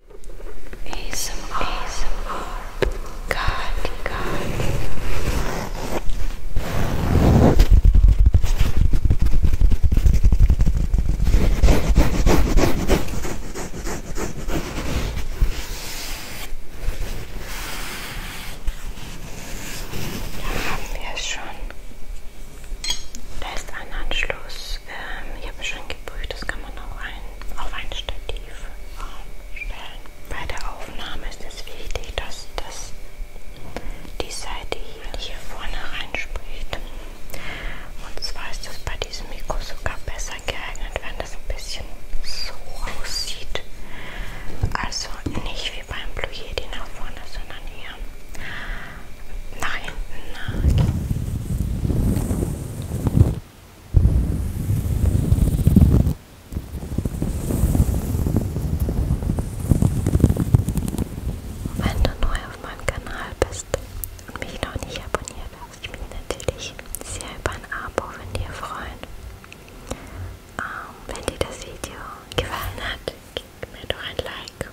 Da haben wir es schon. Da ist ein Anschluss das, ähm, ich habe schon geprüft, das kann man auch ein, auf ein Stativ äh, stellen. Bei der Aufnahme ist es wichtig, dass das die Seite hier, hier vorne reinspricht. Und zwar ist das bei diesem Mikro sogar besser geeignet, wenn das ein bisschen so aussieht. Also nicht wie beim Blue Yeti nach vorne, sondern hier nach hinten nach. Wenn du neu auf meinem Kanal bist und mich noch nicht abonniert hast, ich mich natürlich sehr über ein Abo von dir freuen. Ähm, wenn dir das Video gefallen hat, gib mir doch ein Like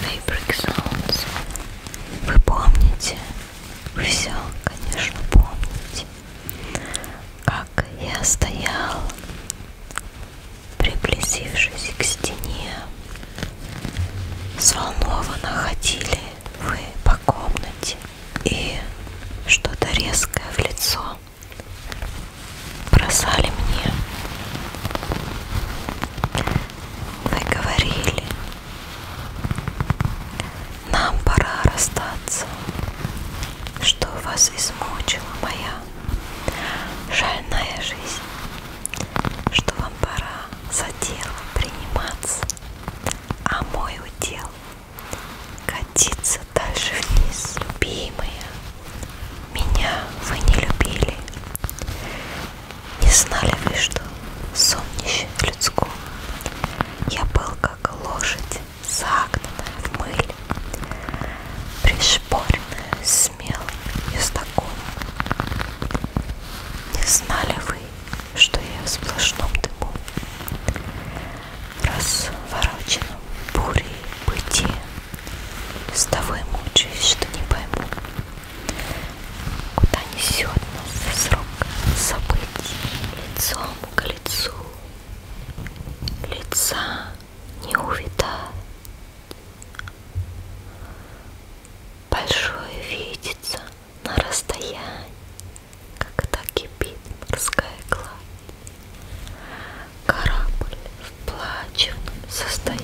Fabric Sounds. Вы помните? Вы все, конечно, помните. Как я стоял, приблизившись к стене, взволнованно ходили вы по комнате и что-то резкое в лицо бросали мне. Вы говорили, нам пора расстаться, что вас измучила моя жальная жизнь что вам пора за дело приниматься, а мой удел катиться дальше вниз, любимые. Меня вы не любили, не знали вы, что солнище людского. Я был как лошадь, загнанная в мыль, пришпоренная смелым ездоком. Не знали вы, что я в сплошном дыму, развороченном бурей бытия, С того и мучаюсь, что не пойму, Куда несет нас срок событий лицом к лицу, Лица не увидать. Большое видится на расстоянии, когда кипит морская гладь. Корабль в плачевном состоянии.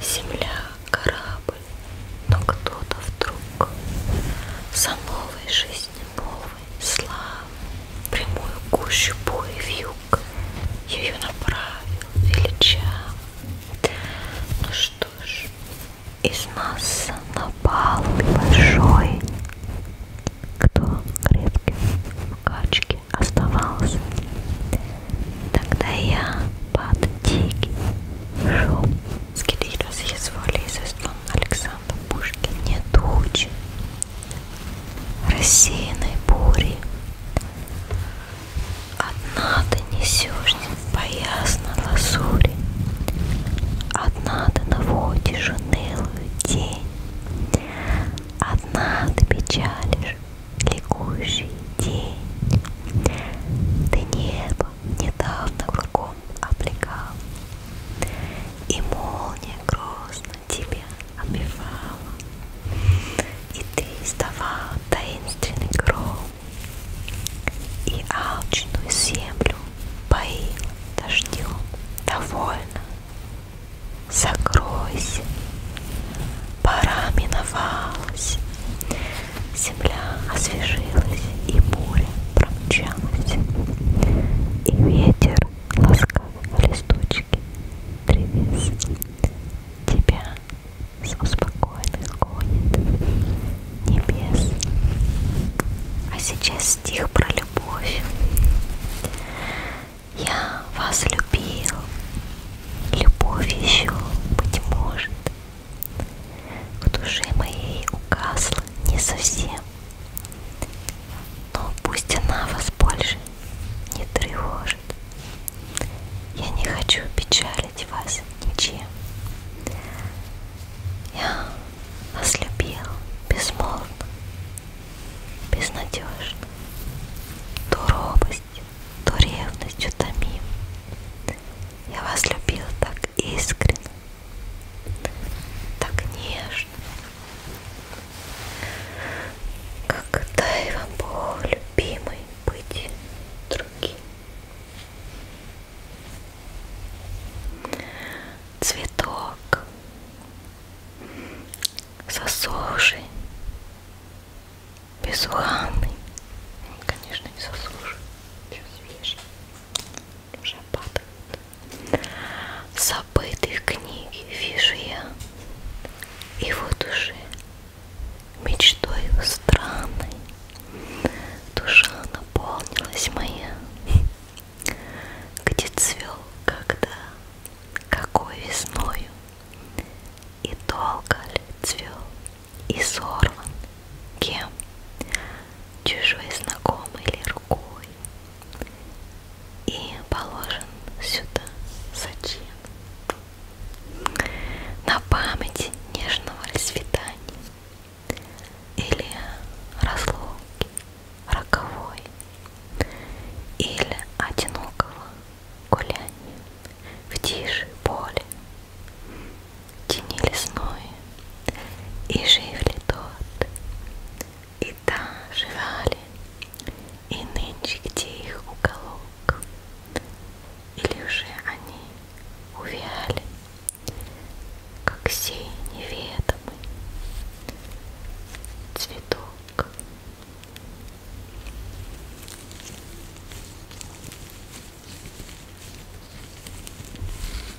Земля, корабль, но кто-то вдруг за новой жизнью, новой славы, прямую гущу бури вьюг, ее направит величаем. Ну что ж, из нас напал большой, кто крепким в качке оставался. Тогда я под дикий шум скидки разъязволизеством Александра Пушкина не тучи рассеянной бури Одна ты несешься по ясно лазури, Одна ты наводишь унылую тень, Одна ты печалишь ликующий день. Ты небо недавно кругом облекал, И молния грозно тебе тебе обивала, и ты издавал таинственный гром, и алчную землю поил дождем. Довольно, закройся, пора миновалась, земля освежилась, и буря промчалась, и ветер ласкал листочки. Тревис тебя с успокойных гонит небес. А сейчас стих про любовь. Я вас любил, любовь еще, быть может, в душе моей угасла не совсем но пусть она вас больше не тревожит. Я не хочу печалить вас ничем. Я вас любил безмолвно, безнадежно, то робостью, то ревностью томим. Я вас любил так искренне, так нежно, как дай вам Бог, любимый, быть другим. Цветок сосуший, безуханный, конечно не сосуший, еще свежий, уже падает забытых книги вижу я, и вот уже мечтою странной душа наполнилась моя, где цвел когда, какой весною, и долго ли цвел, и сорван кем, чужой знакомой ли рукой и положен сюда зачем? На память нежного расцветания или разлуки роковой или одинокого гуляния в тиши поле, тени лесной, и жив ли тот, и всегда живали, и нынче где их уголок, или уже они увяли, как сей неведомый цветок.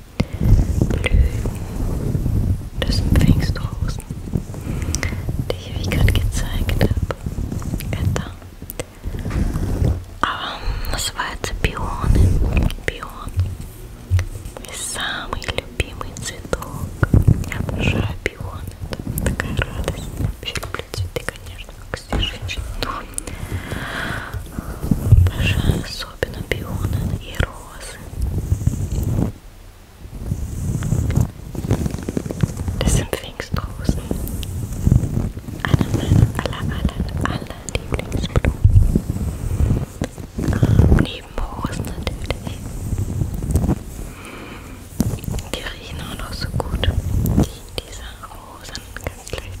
blühen. Das sind Pfingstrosen, die ich euch gerade gezeigt habe. Eta. Aber называется пионы. Пион. Мой самый любимый цветок. Я обожаю пионы. Это такая радость. Я вообще люблю цветы, конечно, как все женщины. Но обожаю особенно пионы и розы. groß. Das sind Pfingstrosen. Eine meiner aller, aller, aller Lieblingsblumen. Ähm, neben Rosen natürlich. Die riechen auch noch so gut. Die, diese Rosen, ganz leicht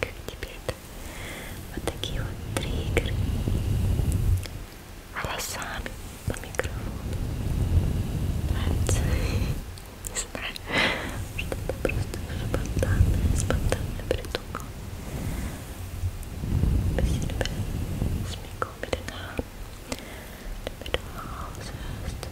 Как тебе это? Вот такие вот триггеры волосами по микрофону. Нравится? Не знаю. Что-то просто спонтанное, спонтанное придумал. Спасибо. Смекал берега. Берега, звезды.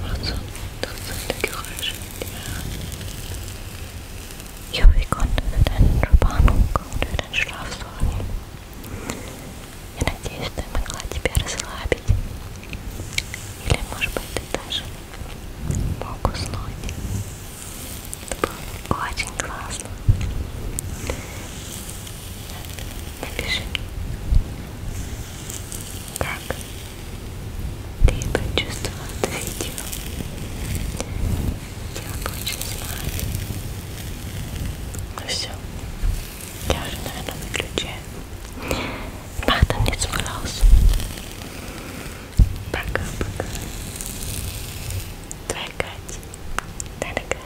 Prozent Geräusche. Ich hoffe, ich konnte für deine Entspannung und für deinen Schlaf sorgen. Я надеюсь, что я могла тебя расслабить. Или, может быть, ты даже мог уснуть. Это было очень классно. Напиши мне, как ты почувствовал это видео? Я очень знаю. Ну все. Я уже, наверное, выключаю. Мартин не собрался. Пока-пока. Твоя Катя. Твоя Катя.